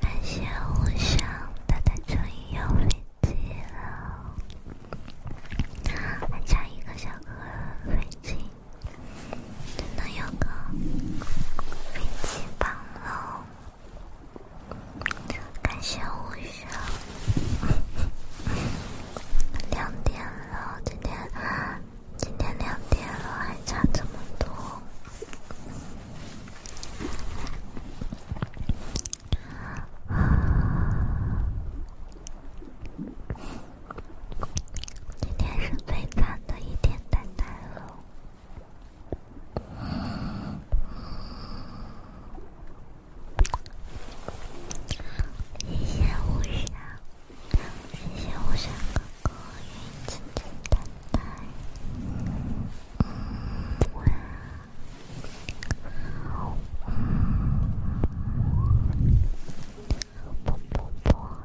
感谢无双，他在这里有飞机了，还差一个小哥哥飞机，能有个飞机房了。感谢无双，两点。然后今天今天两点了，还差这么多。啊，今天是最惨的一天，呆呆了。谢谢五香，谢谢五香哥哥，圆圆的，乖，好棒，啵啵啵。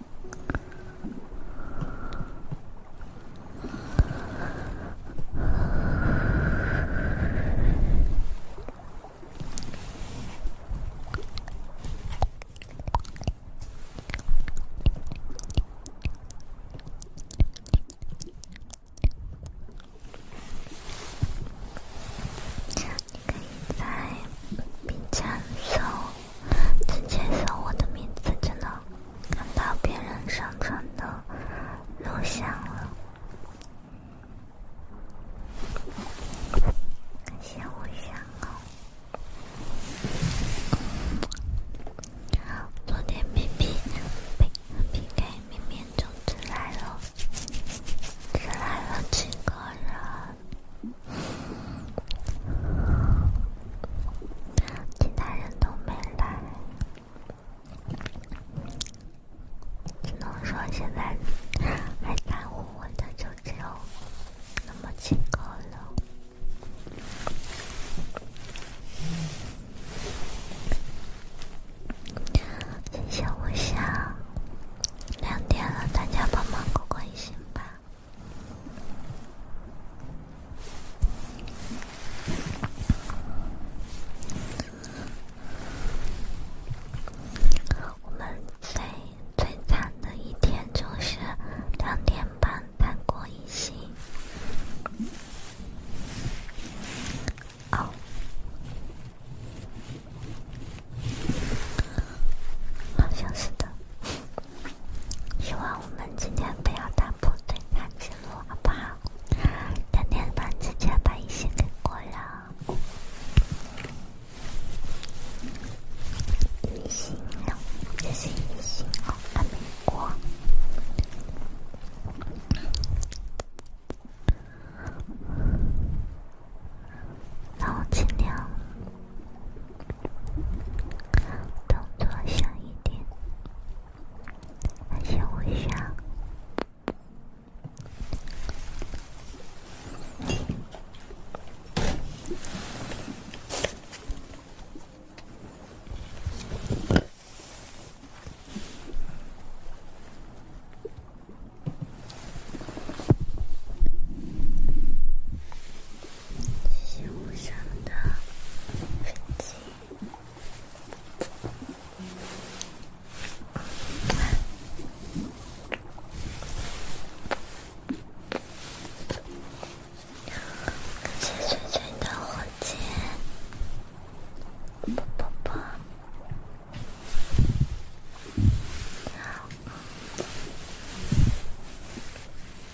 可以再变成熟。直接搜我的名字就能看到别人上传的录像了。感谢分享哦。昨天 P P P P K 明明就只来了，只来了几个人。其他人都没来，只能说现在还在乎我的就只有那么几个了。现在我下两点了，大家帮忙过过心吧。我们最最惨的一天就是两点半谈过一星，哦，好像是的。希望我们今天不要打破对看记录，好不好？把一给过了。这是一那我动作小一点，先微笑。谢谢无声的飞机，感谢翠翠的火箭，啵啵啵。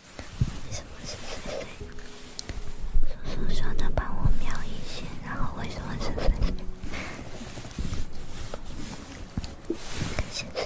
为什么是谁谁？叔叔说他帮我瞄一些，然后为什么是谁谁？谁谁谁？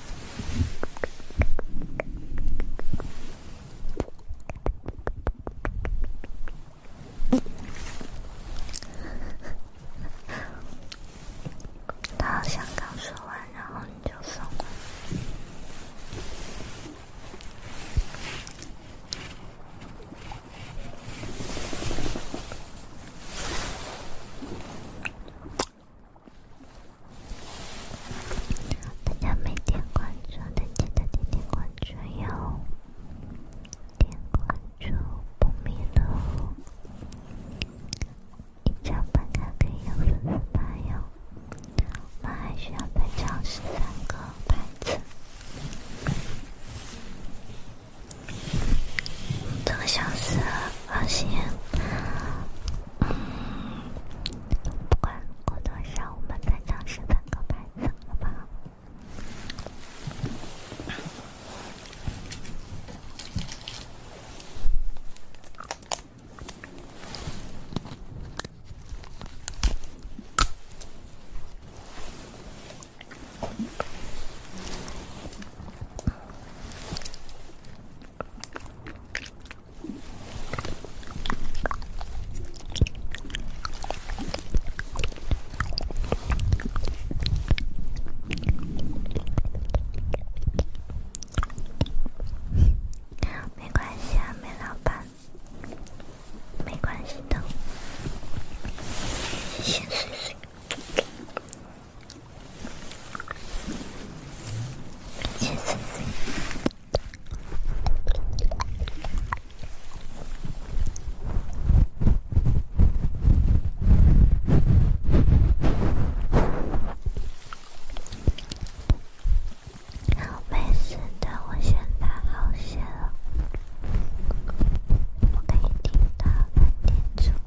他好像刚说完，然后你就送了。大家没点关注的，记得点点关注哟！点关注不迷路。已经帮大家给有粉丝牌哟，我们还需要再涨十三个牌子。两个小时，放心。不管过多少，我们再抢十三个牌子，好不好？没关系啊，梅老板，没关系的，先睡睡。没事的，我现在好些了，我可以听到，能听出。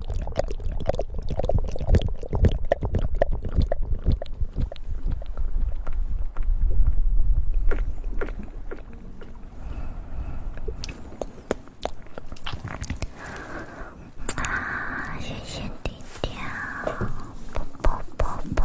哇，谢谢弟弟啊！啵啵啵啵。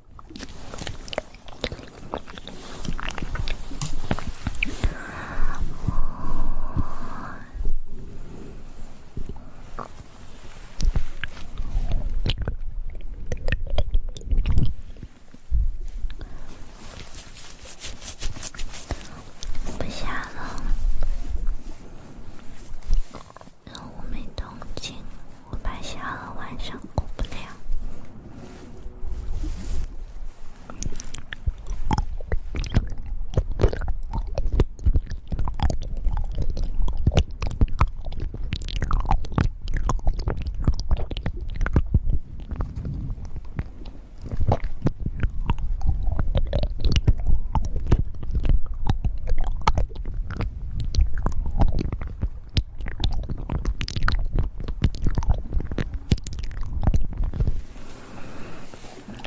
不下了，我没动静。我怕下颚晚上过不了。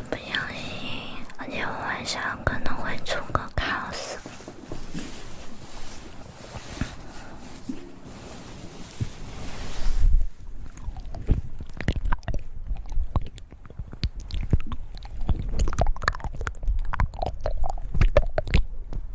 不小心，而且我晚上可能会出个考试。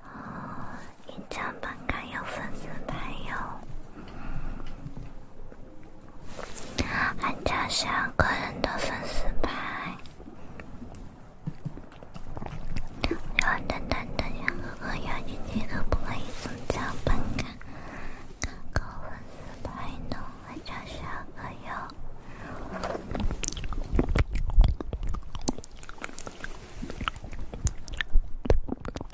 哦，一张本卡有粉丝牌哟，玩家需要更多的粉丝牌。等等等等，哥哥要你几个不会送奖本卡，搞粉丝牌呢？玩家需要个哟。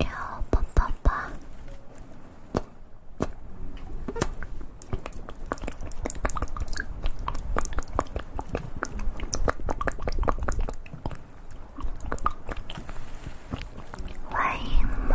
哟，宝宝宝，欢迎我。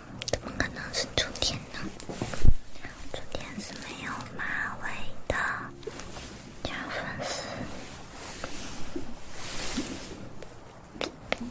怎么可能是竹田呢？竹田是没有马尾的，加粉丝。感谢你。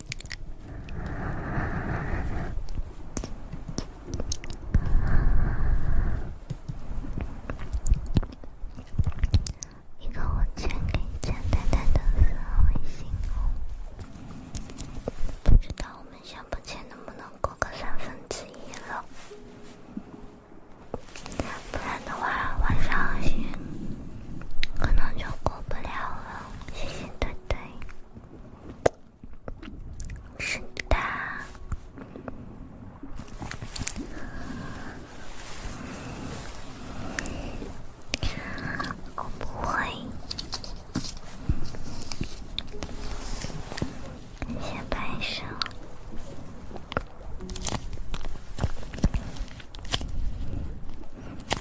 一个我先给你简单的私微信哦，不知道我们下班前能不能过个三分之一了，不然的话晚上可能就过不了了，谢谢对对。是的，我不会，先拍手。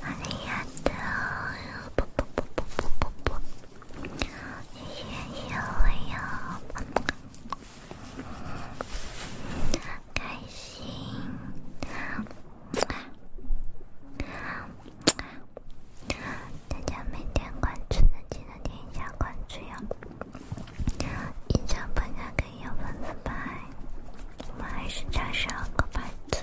哎呀，都啵啵啵啵啵啵啵！你也要要开心！大家没点关注的，记得点一下关注呀！印象本来可以有粉色牌，我们还是差十二个牌子。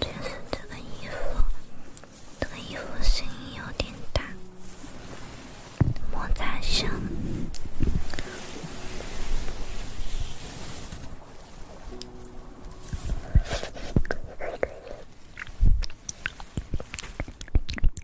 就是这个衣服，这个衣服声音有点大，摩擦声。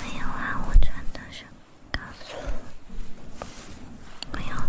没有啊，我穿的是，告诉不要。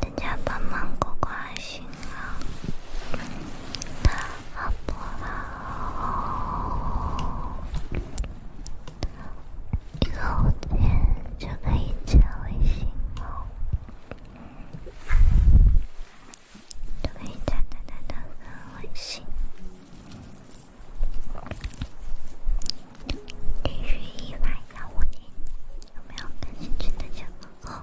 でじゃあパンマンここ足打红包，一个五点就可以加微信哦，都可以加的微信，低于一万的五点，有没有感兴趣的小伙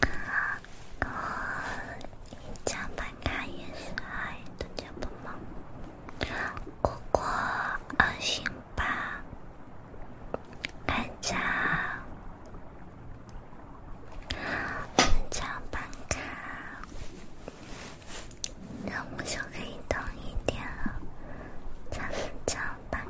哥，一张办卡也是爱的节目吗？哥哥，安心吧，办张，办张办卡，然后就可以当一天了，真是张办。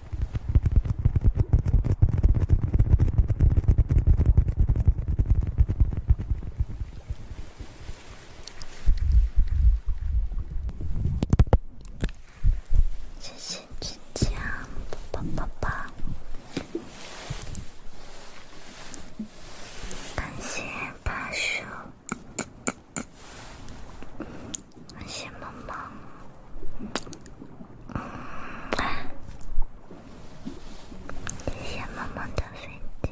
亲亲，亲亲，抱抱，抱抱，感谢大叔。谢谢妈妈，谢谢妈妈的粉底。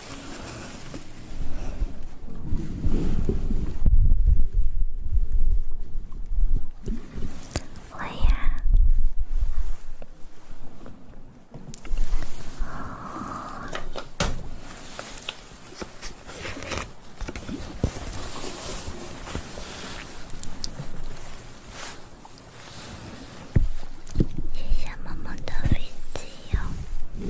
我呀！谢谢妈妈的飞机油，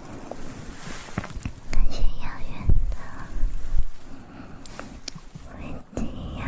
感谢遥远的，一定要。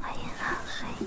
欢迎喝水。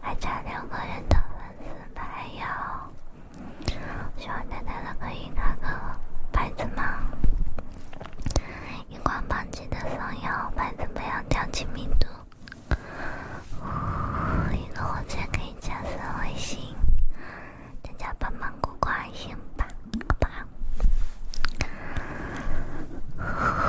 还差两个人的粉丝牌哟，喜欢丹丹的可以拿个牌子吗？荧光棒记得放摇摆，怎么样调亲密度？一个火箭可以加速卫星，大家帮忙过关心吧，好不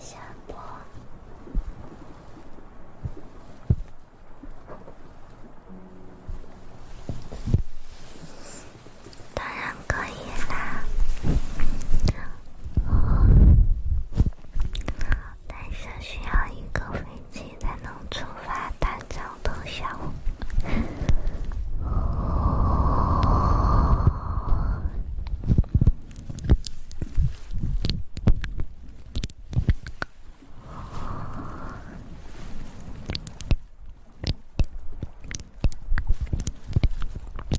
下播，当然可以啦。但是需要一个飞机才能出发，但长的像。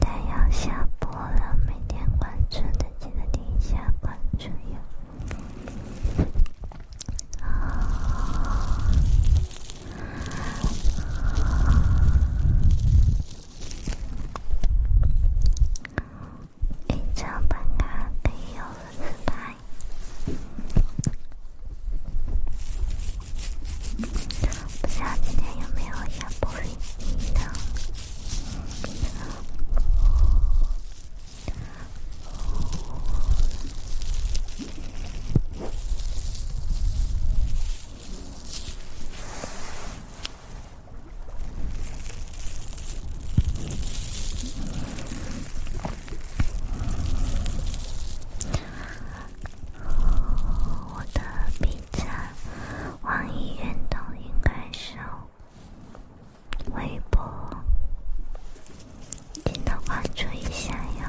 大家要下播了，每天关注的记得点一下关注哟。啊。一张本卡可以有四排，不是一天有没有一部电影的？我的 B 站、网易云都应该是微博，记得关注一下哟。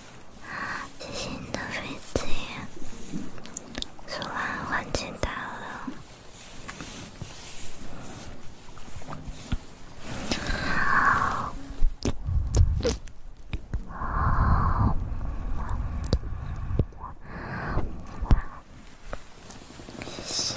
最新的飞机，说完换吉他了，好，谢谢。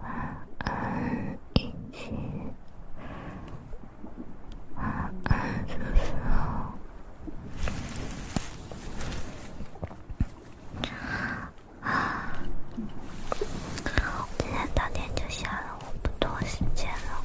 晚安，依依。晚安，叔叔。啊，现在到点就下了，我不多时间了。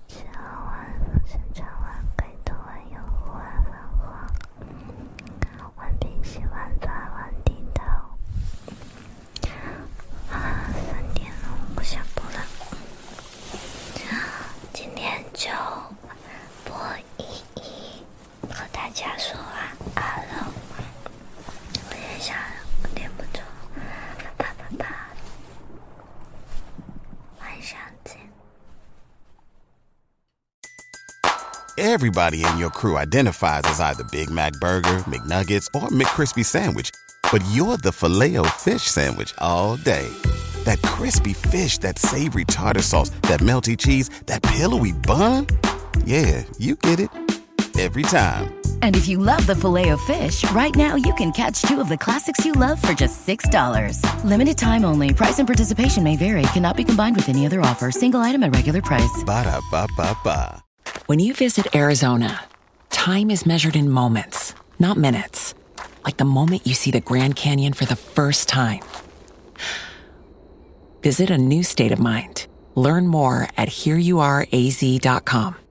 吃完，生产完，盖头完，油壶完，换完，完平息完，钻完，听到。啊，三点了，我下播了。今天就播一一，和大家说完，好了。我也想点不中，哒哒哒哒。Everybody in your crew identifies as either Big Mac Burger, McNuggets, or McCrispy Sandwich, but you're the filet fish Sandwich all day. That crispy fish, that savory tartar sauce, that melty cheese, that pillowy bun. Yeah, you get it every time. And if you love the filet of fish, right now you can catch two of the classics you love for just $6. Limited time only. Price and participation may vary. Cannot be combined with any other offer. Single item at regular price. Ba da ba ba ba. When you visit Arizona, time is measured in moments, not minutes. Like the moment you see the Grand Canyon for the first time. Visit a new state of mind. Learn more at hereyouareaz.com.